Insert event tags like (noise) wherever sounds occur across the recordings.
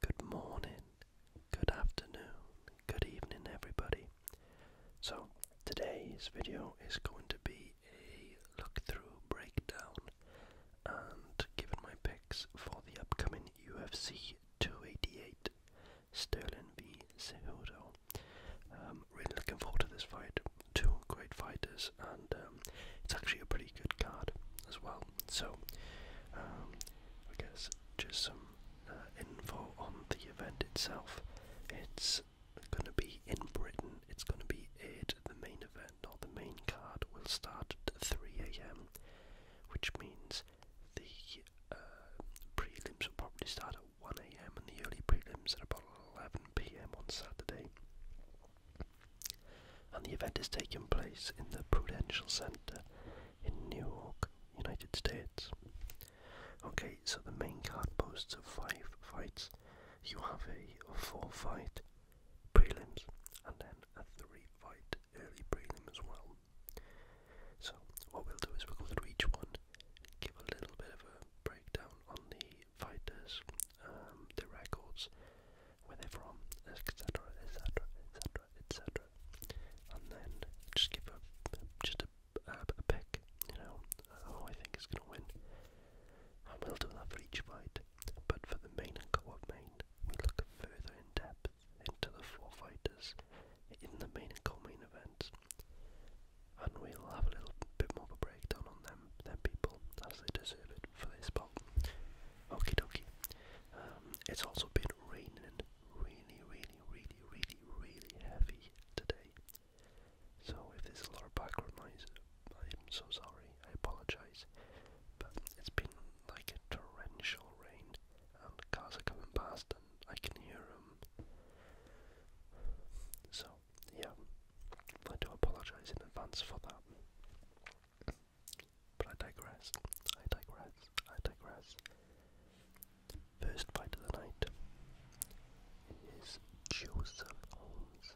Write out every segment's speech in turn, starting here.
Good morning, good afternoon, good evening, everybody. So, today's video is going to be a look through breakdown and giving my picks for the upcoming UFC 288 Sterling v. Cejudo. I'm um, really looking forward to this fight two great fighters, and um, it's actually a pretty good card as well. So, um, I guess just some uh, info on the event itself. It's going to be in Britain. It's going to be at the main event, or the main card will start at 3 a.m., which means the uh, prelims will probably start at 1 a.m. and the early prelims at about 11 p.m. on Saturday. And the event is taking place in the Prudential Center in New York, United States. Okay, so the main card boasts of five fights. You have a four fight prelims and then a three fight early prelim as well. So, what we'll do is we'll go through each one, give a little bit of a breakdown on the fighters, um, records, where they're from, etc., etc., etc., etc. And then just give a just a, a, a pick, you know, uh, who I think is going to win. And we'll do that for each fight. But for the main and co main, we look further in depth into the four fighters in the main and co-main events and we'll have a little bit more of a breakdown on them, them people, as they deserve it for this spot. Okie dokie. Um, it's also been raining really, really, really, really, really heavy today. So if there's a lot of background noise, I'm so sorry. I apologise. But it's been like a torrential rain, and cars are coming past, and I can hear them. So yeah, I do apologise in advance for that. But I digress, I digress, I digress. First fight of the night is Joseph Holmes.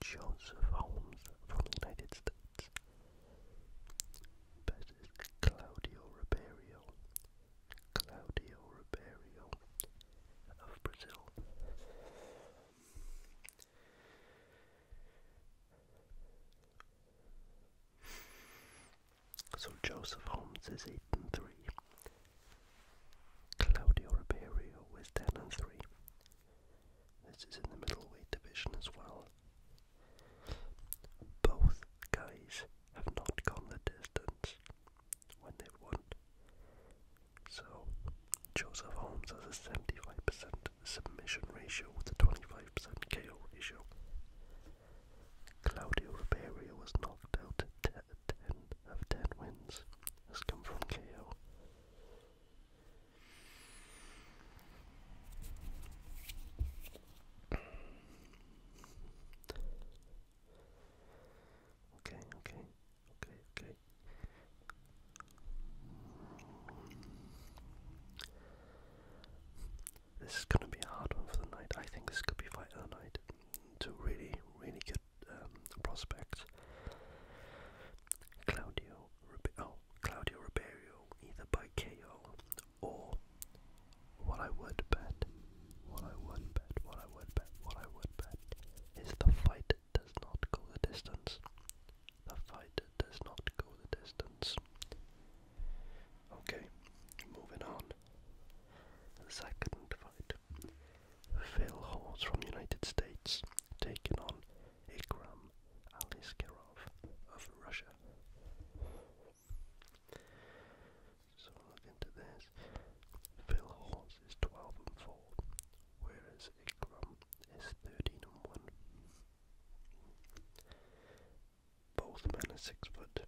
Joseph Holmes from the United States versus Claudio Ribeiro. Claudio Ribeiro of Brazil. So Joseph Holmes is 8 and 3. Claudio Ribeiro is 10 and 3. This is in the middleweight division as well. Both guys have not gone the distance when they've so, Joseph Holmes has a 75% submission ratio with a 25% KO ratio. Claudio Ribeiro was knocked out at 10 of 10 wins, has come from KO. Okay, okay okay, okay. This is gonna be a hard one for the night. I think this could be fight of the night. Two really, really good um, prospects. Claudio, oh, Claudio Ribeiro, either by KO or what I would bet, what I would bet, what I would bet, what I would bet is the fight does not go the distance. The fight does not go the distance. Okay, moving on. The second fight. Phil Horse from United States taking on Ikram Aliskerov of Russia. So look into this. Phil Horse is 12 and 4 whereas Ikram is 13 and 1. Both men are 6 foot.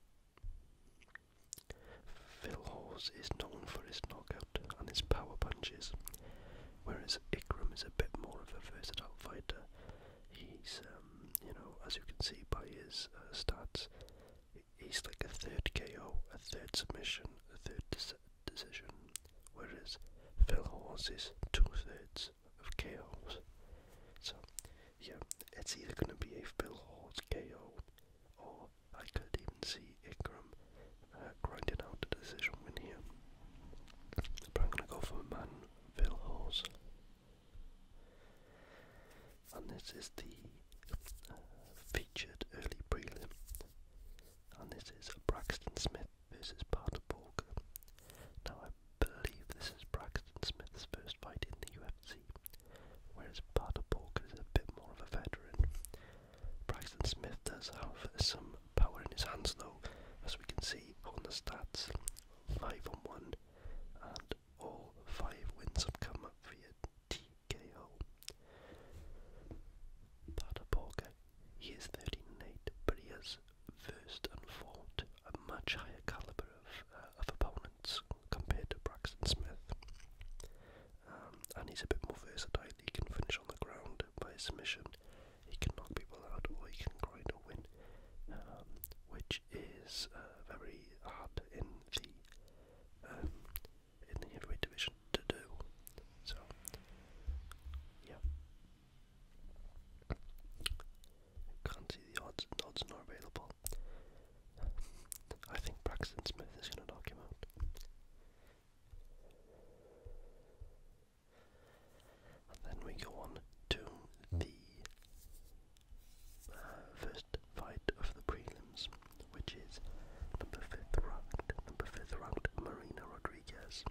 Phil Hawes is known for his knockout and his power punches, whereas Ikram is a bit more of a versatile fighter. He's, um, you know, as you can see by his uh, stats, he's like a third KO, a third submission, a third decision, whereas Phil Horse is two thirds of KOs. So, yeah, it's either going to be a Phil Horse KO, or I could even see Ingram uh, grinding out a decision win here. But I'm going to go for a man, Phil Horse. And this is the uh, featured early prelim and this is Braxton Smith versus Pat Walker. Now I believe this is Braxton Smith's first fight in the UFC, whereas Pat Walker is a bit more of a veteran. Braxton Smith does have some power in his hands though, as we can see on the stats, five on one, and all five wins have come up via TKO. Tata Borga, he is 13 but he has first and fought a much higher calibre of, uh, of opponents compared to Braxton Smith. Um, and he's a bit more versatile, he can finish on the ground by submission, he can knock people out or he can grind to win, um, which is uh, very hard in the um, in the heavyweight division to do. So, yeah. Can't see the odds. odds not available. I think Braxton Smith is going to knock him out. then we go on to the uh, first fight of the prelims which is number fifth ranked, number fifth ranked Marina Rodriguez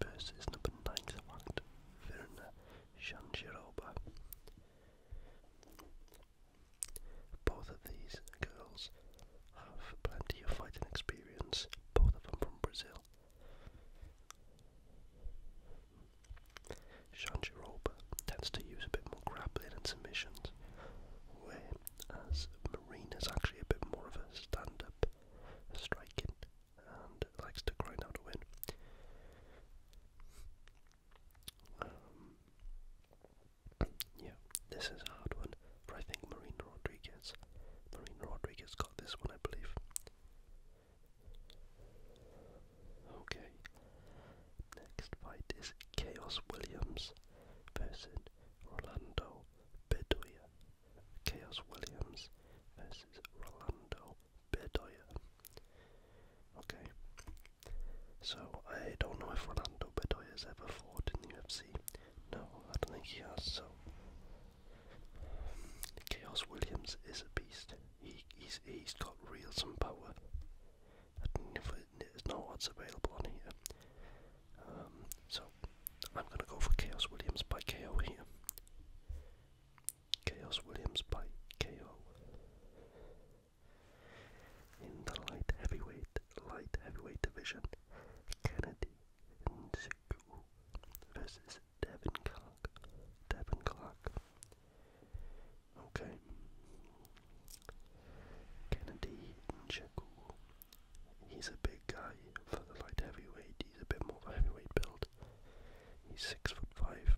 versus number ninth ranked Verna Shanshirova. Both of these girls have plenty of fighting experience, both of them from Brazil. Shanshirova tends to use a bit more grappling and submissions, as Marine is actually a bit more of a stand-up striking and likes to grind out a win. Um, yeah, this is a hard one, but I think Marine Rodriguez, Marine Rodriguez got this one, I believe. Okay, next fight is Chaos Williams versus Rolando Bedoya. Chaos Williams versus Rolando Bedoya. Okay. So I don't know if Rolando Bedoya has ever fought in the UFC. No, I don't think he has, so Chaos Williams is a beast. He he's he's got real some power it's not what's available on here. Um, so I'm going to go for Chaos Williams by KO here. Chaos Williams by KO. In the light heavyweight, light heavyweight division, Kennedy Nziku versus Devin Clark. Devin Clark. Okay, Kennedy Ncheku. He's a big guy for the light heavyweight. He's a bit more of a heavyweight build. He's six foot five.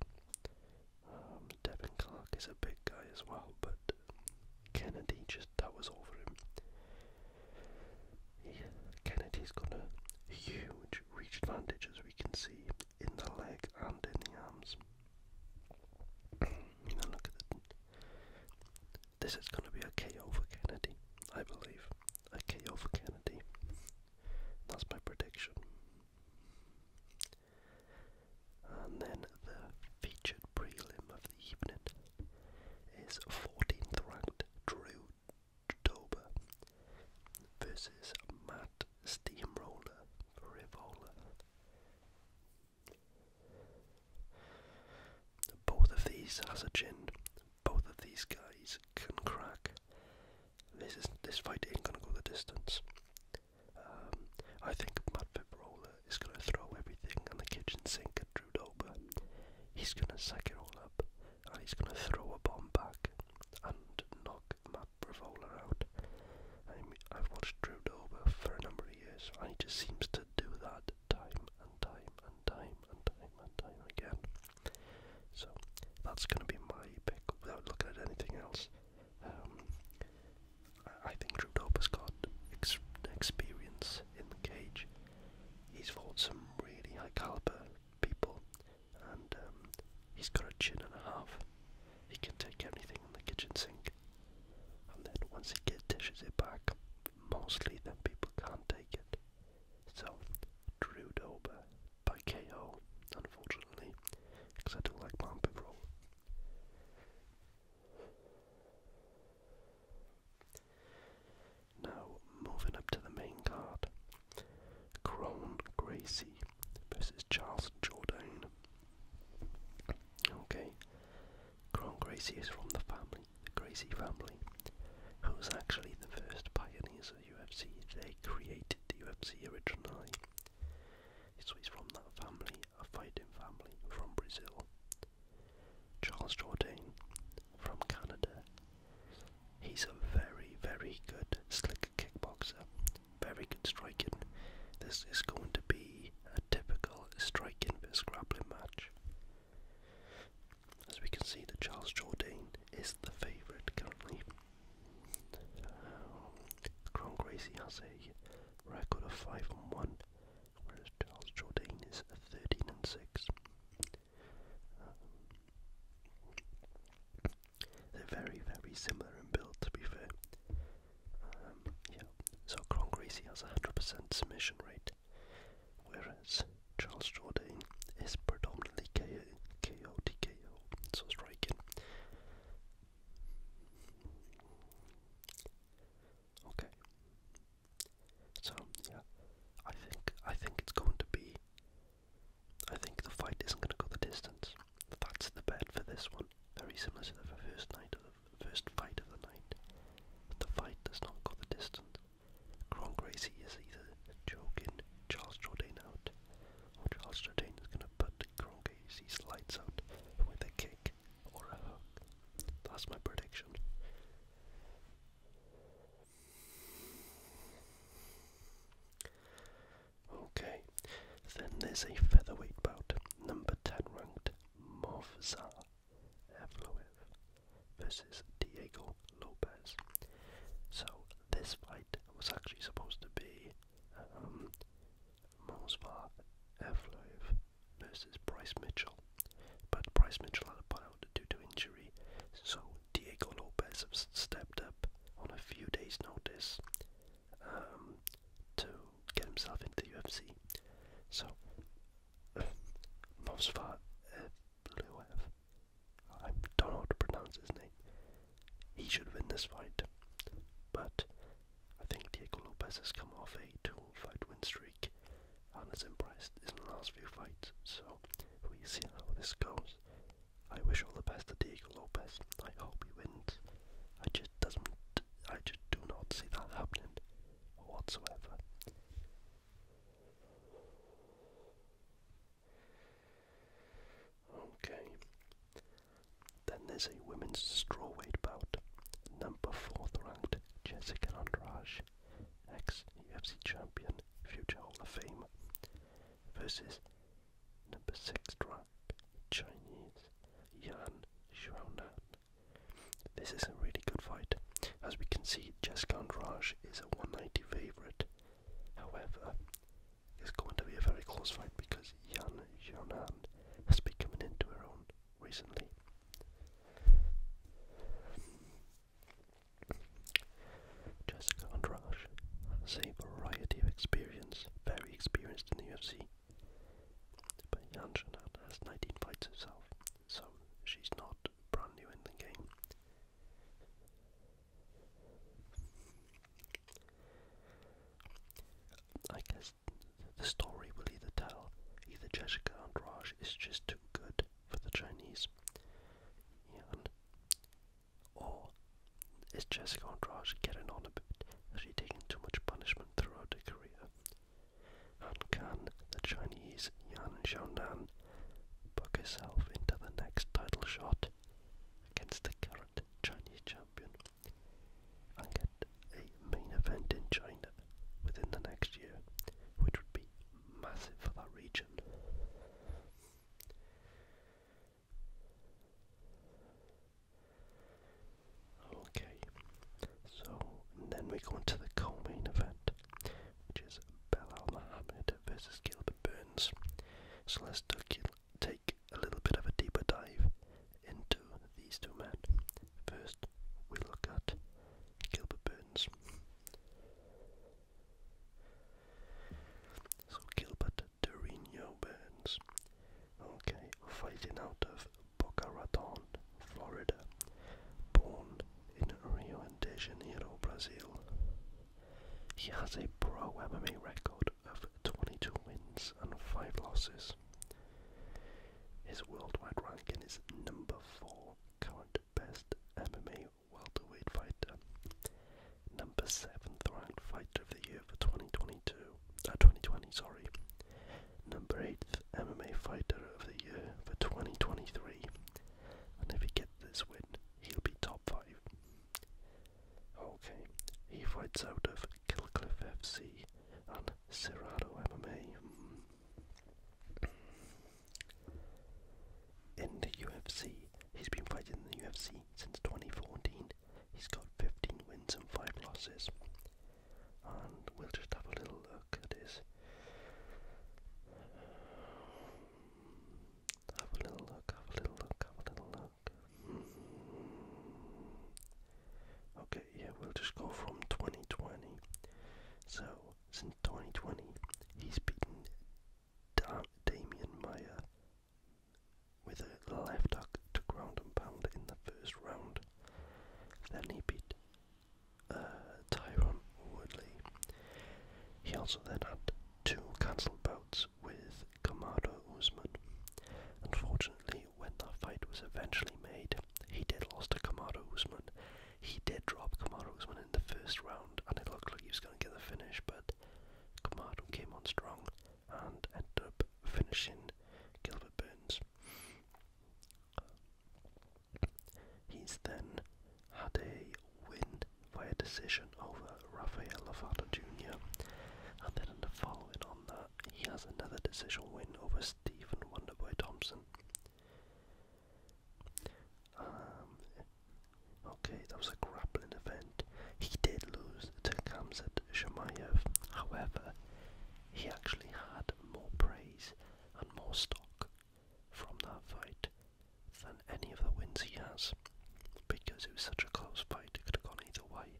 Um, Devin Clark is a big guy as well, but Kennedy just towers over him. Kennedy's got a huge reach advantage, as we can see, in the leg and in the arms. (clears throat) now look at the this is going to be a KO for Kennedy, I believe. A KO for Kennedy. That's my prediction. And then the featured prelim of the evening is 14th ranked Drew Dober versus Matt Steamroller Rivola. Both of these has a chin. Both of these guys can crack. This is this fight ain't gonna go the distance. Um, I think Matt Fibrola is gonna throw everything on the kitchen sink at Drew Dober. He's gonna suck it all up, and he's gonna throw a bomb back and knock Matt Bravola out. I have watched Drew Dober for a number of years, and he just seems to do that time and time and time and time and time again. So that's going to be my pick without looking at anything else. Um, I, I think Trudeau has got experience in the cage. He's fought some really high caliber people, and um, he's got a chin and a half. He can take anything in the kitchen sink. And then once the kid dishes it back, mostly then people can't take it. So, Drew Dober by KO, unfortunately, because I do like Bambi Roll. Now, moving up to the main card, Crone Gracie versus Charles Jordan. Okay, Cron Gracie is from the family, the Gracie family, who's actually the first pioneers of UFC. They created the UFC originally. So he's from that family, a fighting family from Brazil. Charles Jourdain from Canada. He's a very, very good slick kickboxer, very good striking. This is going to be typical striking versus grappling match. As we can see, that Charles Jourdain is the favourite currently. Um, has a record of 5 and 1, whereas Charles Jourdain is 13 and 6. Um, they're very, very similar in build, to be fair yeah, so Cron Gracie has a 100% submission rate, whereas Charles Jordan is predominantly KO, KO TKO, so striking. Okay. So yeah, I think I think it's going to be. I think the fight isn't going to go the distance. That's the bet for this one. Very similar to the first night of first fight of the night, the fight does not go the distance. Kron is either joking Charles Jourdain out, or Charles Jourdain is going to put Kron lights out with a kick or a hook. That's my prediction. Okay, then there's a featherweight bout, number 10 ranked Movsar Evloev versus Diego Lopez. So this fight was actually supposed to be um, Mosvar Evloev versus Bryce Mitchell, but Bryce Mitchell had out due to injury, so Diego Lopez stepped up on a few days' notice um, to get himself into UFC. So, um, uh, Mosfar Evloev, uh, I don't know how to pronounce his name, he should win this fight. But I think Diego Lopez has come off a two fight win streak and has impressed in the last few fights. So, we see how this goes. I wish all the best to Diego Lopez. I hope he wins. I just doesn't. I just do not see that happening whatsoever. Okay. Then there's a women's strawweight bout. Number fourth ranked Jessica Andrade, ex UFC champion, future Hall of Fame, versus number six ranked Chinese Yan Xiaonan, this is a really good fight. As we can see, Jessica Andrade is a 190 favourite. However, it's going to be a very close fight because Yan Xiaonan has been coming into her own recently. Jessica Andrade has variety of experience, very experienced in the UFC. But Janssen has 19 fights herself, so she's not brand new in the game. I guess the story will either tell either Jessica Andrade is just too good for the Chinese, or is Jessica Andrade getting on a bit? Has she taken too much punishment throughout her career and can the Chinese Yan Xiaonan book herself into the next title shot against the current Chinese champion and get a main event in China within the next year, which would be massive for that region. Okay, so then we go into the main event, which is Belal Muhammad versus Gilbert Burns. So let's take a little bit of a deeper dive into these two men. First, we look at Gilbert Burns. So Gilbert Dorino Burns, okay, fighting out of Boca Raton, Florida, born in Rio de Janeiro, Brazil. He has a pro MMA record of 22 wins and 5 losses. His worldwide ranking is number 4, current best MMA welterweight fighter, number 7th ranked fighter of the year for 2023. 2020, uh, sorry. Number eight MMA Fighter of the Year for 2023. And if he gets this win, he'll be top 5. Okay, he fights out of Killcliff FC and Cerrado MMA. In the UFC, he's been fighting in the UFC since 2014. He's got 15 wins and 5 losses and we'll just have a little look at his. Have a little look, have a little look, have a little look. Okay, yeah, we'll just go from 2020. So, since 2020, he's beaten da Damien Meyer with a left hook to ground and pound in the first round. Then he beat uh, Tyrone Woodley. He also then had two cancelled bouts with Kamado Usman. Unfortunately, when that fight was eventually made, he did lose to Kamado Usman. He did drop Kamado Usman in the first round, and it looked like he was going to get the finish, but Kamado came on strong and end up finishing Gilbert Burns. He's then had a win via decision over Rafael Lovato Jr. And then in the following on that, he has another decision win over Stephen Wonderboy Thompson. Um, okay, that was a grappling event. He did lose to Kamzat Shemaev. However, he actually had more praise and more stock from that fight than any of the wins he has because it was such a close fight, it could have gone either way.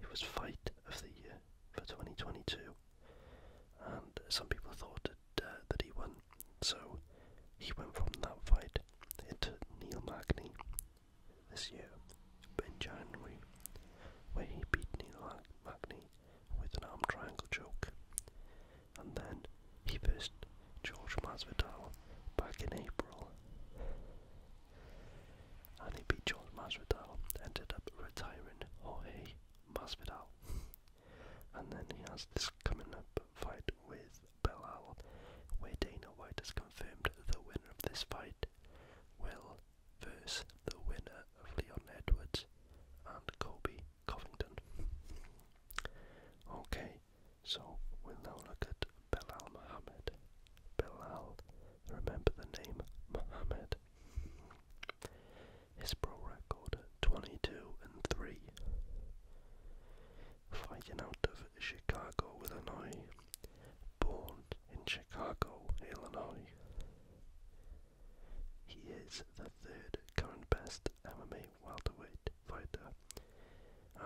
It was fight of the year for 2022, and some people thought uh, that, he won, so he went from that fight into Neil Magny this year in January, where he beat Neil Magny with an arm triangle choke. And then he faced George Masvidal back in April. And he beat George Masvidal, ended up retiring Jorge Masvidal. and then he has this coming up fight with Belal, where Dana White has confirmed the winner of this fight will versus the winner of Leon Edwards and Kobe Covington. Okay, so we'll now look at Belal Muhammad. Belal, remember the name Muhammad. His pro record 22 and 3. Fighting out of Chicago, Illinois, born in Chicago, Illinois. He is the third current best MMA welterweight fighter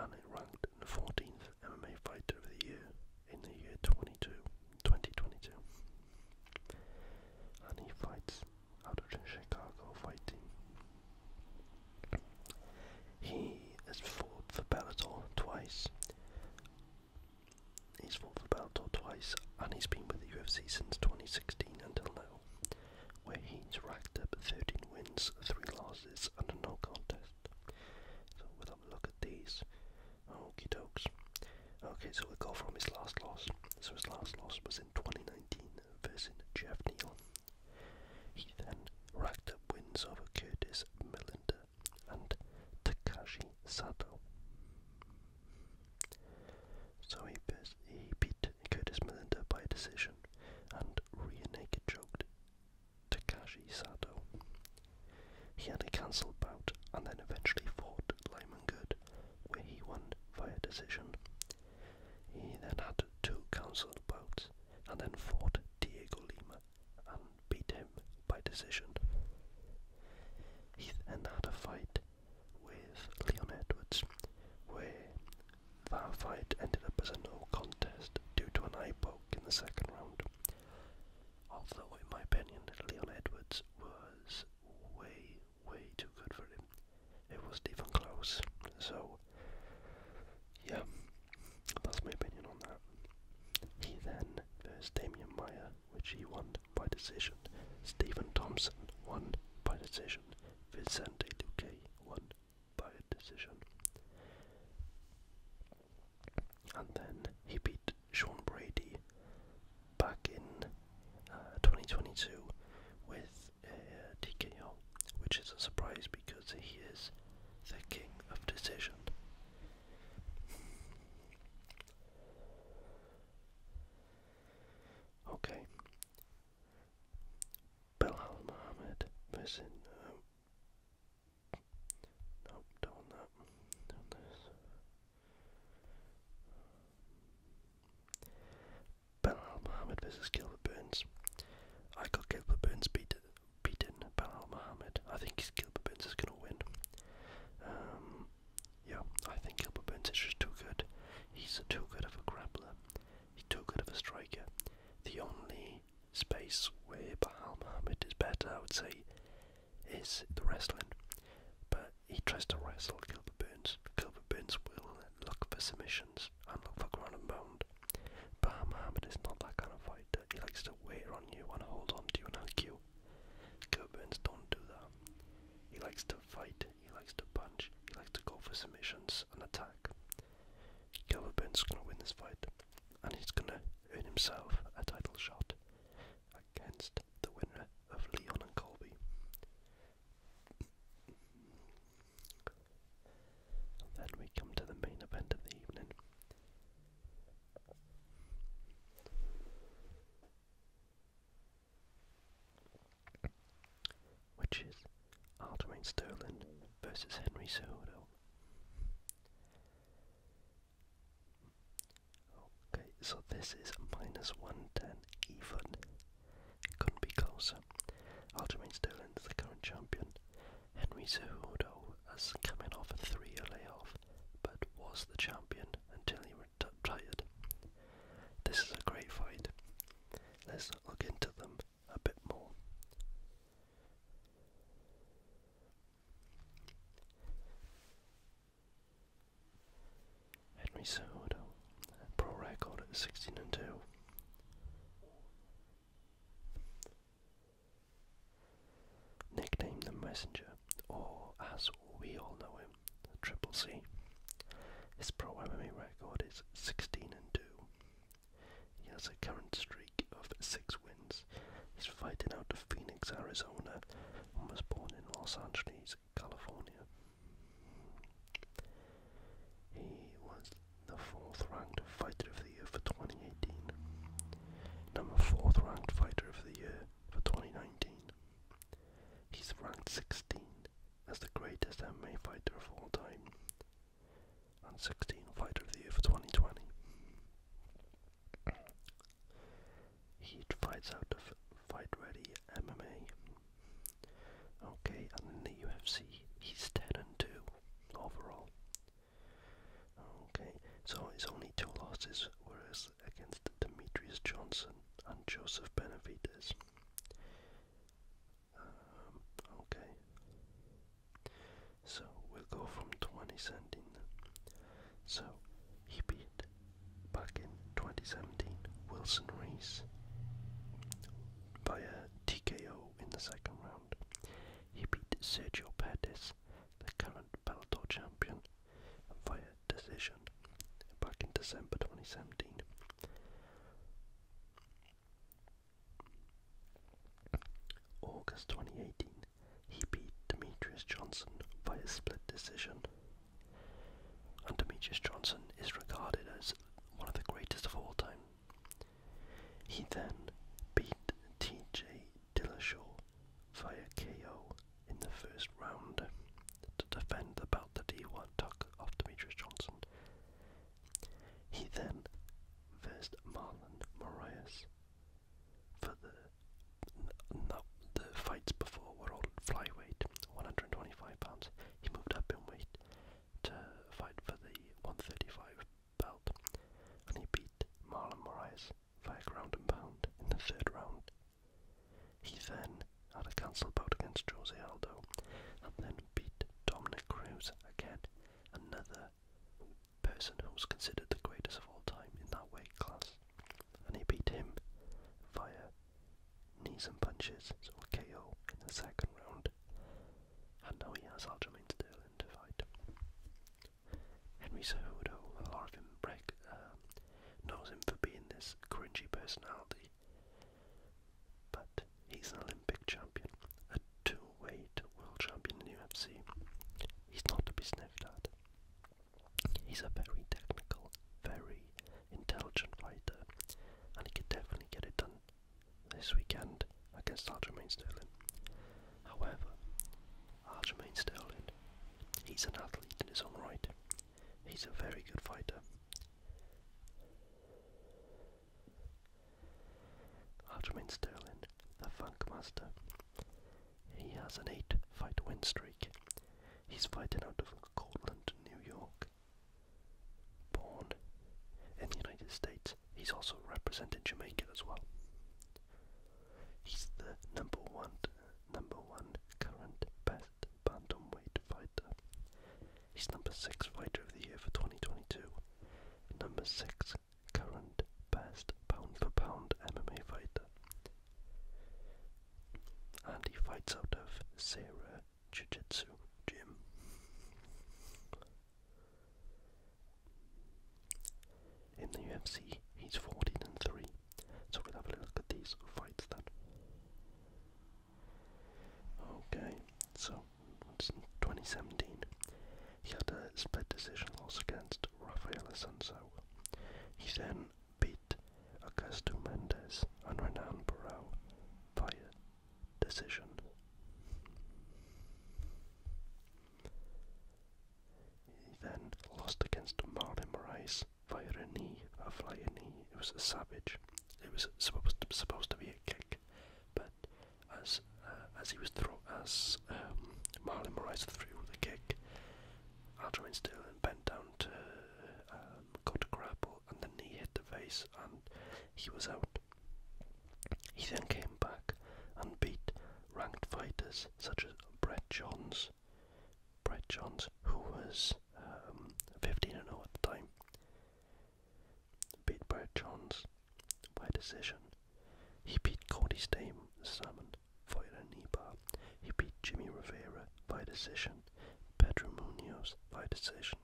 and ranked the 14th MMA fighter of the year in the year 22, 2022. And he fights out of Chicago fighting. He has fought for Bellator twice He's fought for Bellator twice, and he's been with the UFC since 2016 until now, where he's racked up 13 wins, 3 losses, and a no contest. So we'll have a look at these. Okie dokes. Okay, so we'll go from his last loss. So his last loss was in 2019 versus Jeff Neal. He then racked up wins over Curtis Melinda and Takashi Sato. So he, he beat Curtis Melinda by decision and rear choked Takashi Sato. He had a cancelled bout and then eventually fought Lyman Good, where he won via decision. He then had two cancelled bouts and then fought Diego Lima beat him by decision. He then had a fight with Leon Edwards, where that fight ended up as a no contest due to an eye poke in the second round. Although, in my opinion, Leon Edwards was way, way too good for him. It wasn't even close. So, yeah, that's my opinion on that. He then versed Damian Meyer, which he won by decision. Stephen Thompson won by decision. Vicente Luque won by decision. And then he beat Sean Brady back in uh, 2022 with a uh, TKO, which is a surprise because he is the king of decision. Okay. Bilal Muhammad versus. Um, don't that. Don't this. Bilal Muhammad versus Gilbert Burns. I got Gilbert Burns beat beaten Bilal Muhammad. I think Gilbert Burns is going to win. Um, yeah, I think Gilbert Burns is just too good. He's too good of a grappler. He's too good of a striker. The only space where Bilal Muhammad is better, I would say, is the wrestling. But he tries to wrestle Gilbert Burns. Gilbert Burns will look for submissions and look for ground and pound. But Muhammad is not that kind of fighter. He likes to wait on you and hold on to you and hug you. Goburns don't do that. He likes to fight, he likes to punch, he likes to go for submissions and attack. is gonna win this fight, and he's gonna earn himself a title shot against the winner of Leon and Colby. then we come to the main event of the evening. Which is Aljamain Sterling versus Henry Cejudo. Okay, so this is minus 110 even. couldn't be closer. Aljamain Sterling is the current champion. Henry Cejudo as coming off a three year layoff, but was the champion until he retired. This is a great fight. Let's look into them a bit more. Henry Cejudo, pro record 16 and 2. Nicknamed the Messenger, or as we all know him, Triple C. His pro MMA record is 16 and 2. He has a current streak of 6 wins. He's fighting out of Phoenix, Arizona, and was born in Los Angeles, California. He was the fourth ranked fighter of the the Year for 2018. Number 4th ranked fighter of the year for 2019. He's ranked 16 as the greatest MMA fighter of all time and 16 fighter of the year for 2020. He fights out of Fight Ready MMA. Okay, and in the UFC, he's 10 and 2 overall. Okay, so it's only two losses, whereas against Demetrius Johnson and Joseph Benavides. Um, okay, so we'll go from 2017. So he beat back in 2017 Wilson Reese a TKO in the second round. He beat Sergio Pettis, the current Bellator champion via decision back in December 2017. August 2018, he beat Demetrius Johnson via split decision. And Demetrius Johnson is regarded as one of the greatest of all time. He then beat TJ Dillashaw via KO in the first round to defend the belt that he won took off Demetrius Johnson. He then faced Marlon Moraes for the, the fights before were all flyweight, 125 pounds. He moved up in weight to fight for the 135 belt and he beat Marlon Moraes via ground and pound in the third round. He then had a cancel bout against Jose Aldo and then beat Dominic Cruz again, another person who was considered the greatest of all time in that weight class. And he beat him via knees and punches, so a KO in the second round. And now he has Aljamain Sterling to fight. Henry Cejudo a lot of him break, um, knows him for being this cringy personality. But he's an Olympic champion, a two-weight world champion in UFC. He's not to be sniffed at. He's a very technical, very intelligent fighter, and he could definitely get it done this weekend against Aljamain Sterling. However, Aljamain Sterling, he's an athlete in his own right. He's a very good fighter. Aljamain Sterling, the Funk Master, he has an eight fight win streak. He's fighting out of Cortland, New York. Born in the United States He's also represented Jamaica as well. He's the number one, number one current best bantamweight fighter. He's number six fighter of the year for 2022. Number six current best pound for pound MMA fighter. And he fights out of Sarah Jiu Jitsu Gym. In the UFC, he's 14 and 3. So we'll have a look at these fights then. Okay, so in 2017, he had a split decision loss against Rafael Assunção. He then beat Augusto Mendes and Renan Barrow via decision. He then lost against Marlin Moraes via a knee, uh, a flying knee. It was a savage. It was supposed to, be a kick, but as uh, as he was thrown, as um, Marlon Moraes threw the kick, still and bent down to go um, to grapple, and the knee hit the face, and he was out. He then came back and beat ranked fighters such as Brett Johns, Brett Johns, who was um, 15 and 0 at the time, beat Brett Johns by decision. He beat Cody Stame Salmon via a knee He beat Jimmy Rivera by decision, Pedro Munoz by decision,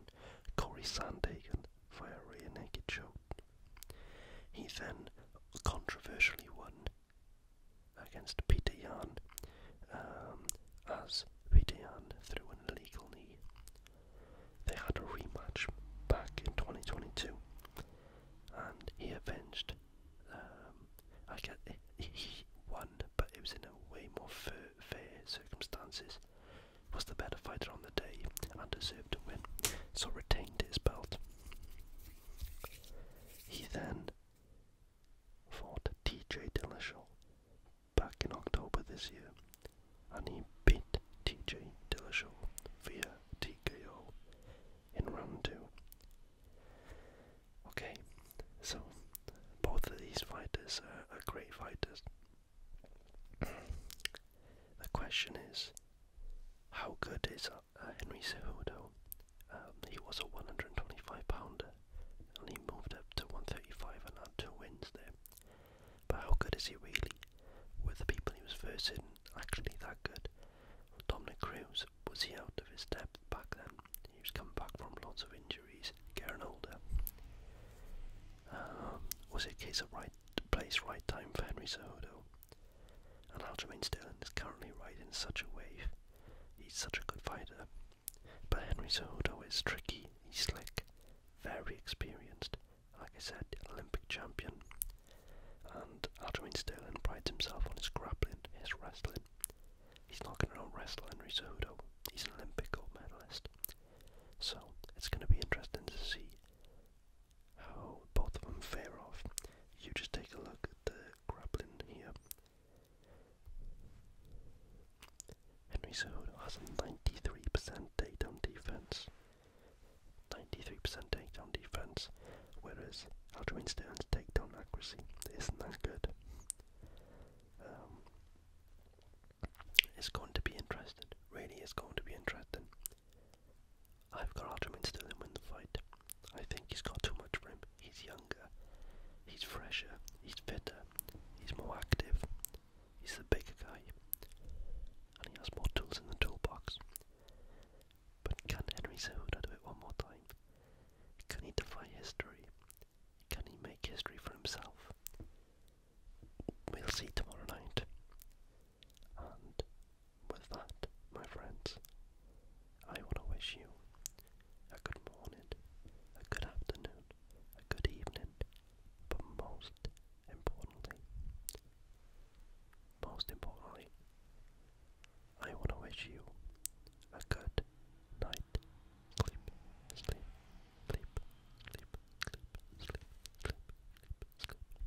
Corey Sandagan via a rear naked choke he then controversially won against Peter Yan um, as Peter Yan threw an illegal knee. They had a rematch back in 2022 and he avenged. Um, I get he won, but it was in a way more fair, fair circumstances. Was the better fighter on the day and deserved to win, so retained his belt. He then fought TJ Dillashaw back in October this year, and he beat TJ Dillashaw via TKO in round two. Okay, so both of these fighters are, great fighters. (clears throat) the question is, how good is uh, Henry Cejudo. Um, he was a 125 pounder and he moved up to 135 and had two wins there. But how good is he really? Were the people he was versing actually that good? Dominic Cruz, was he out of his depth back then? He was come back from lots of injuries, getting older. Um, was it a case of right place, right time for Henry Cejudo? And Aljamain Sterling is currently riding such a wave. He's such a good fighter. But Henry Cejudo is tricky, he's slick, very experienced. Like I said, Olympic champion. And Aljamain Sterling prides himself on his grappling, his wrestling. He's not going to wrestle Henry Cejudo. He's an Olympic gold medalist. So, it's going to be interesting to see how oh, both of them fare off. You just take a look at the grappling here. Henry Cejudo has 93% takedown defense. 93% takedown defense, whereas Aljamain Sterling's takedown accuracy isn't that good. Um, it's going to be interesting. Really, it's going to be interesting. I've got Alderman still in win the fight. I think he's got too much for him. He's younger, he's fresher, he's fitter, he's more active, he's the bigger guy, and he has more tools in the toolbox. But can Henry Cejudo do it one more time? Can he defy history? Can he make history for himself? We'll see tomorrow night. And with that, my friends, I want to wish you a good morning, a good afternoon, a good evening, but most importantly, most importantly, I want to wish you a good night. Sleep, sleep, sleep, sleep, sleep, sleep, sleep, sleep. sleep.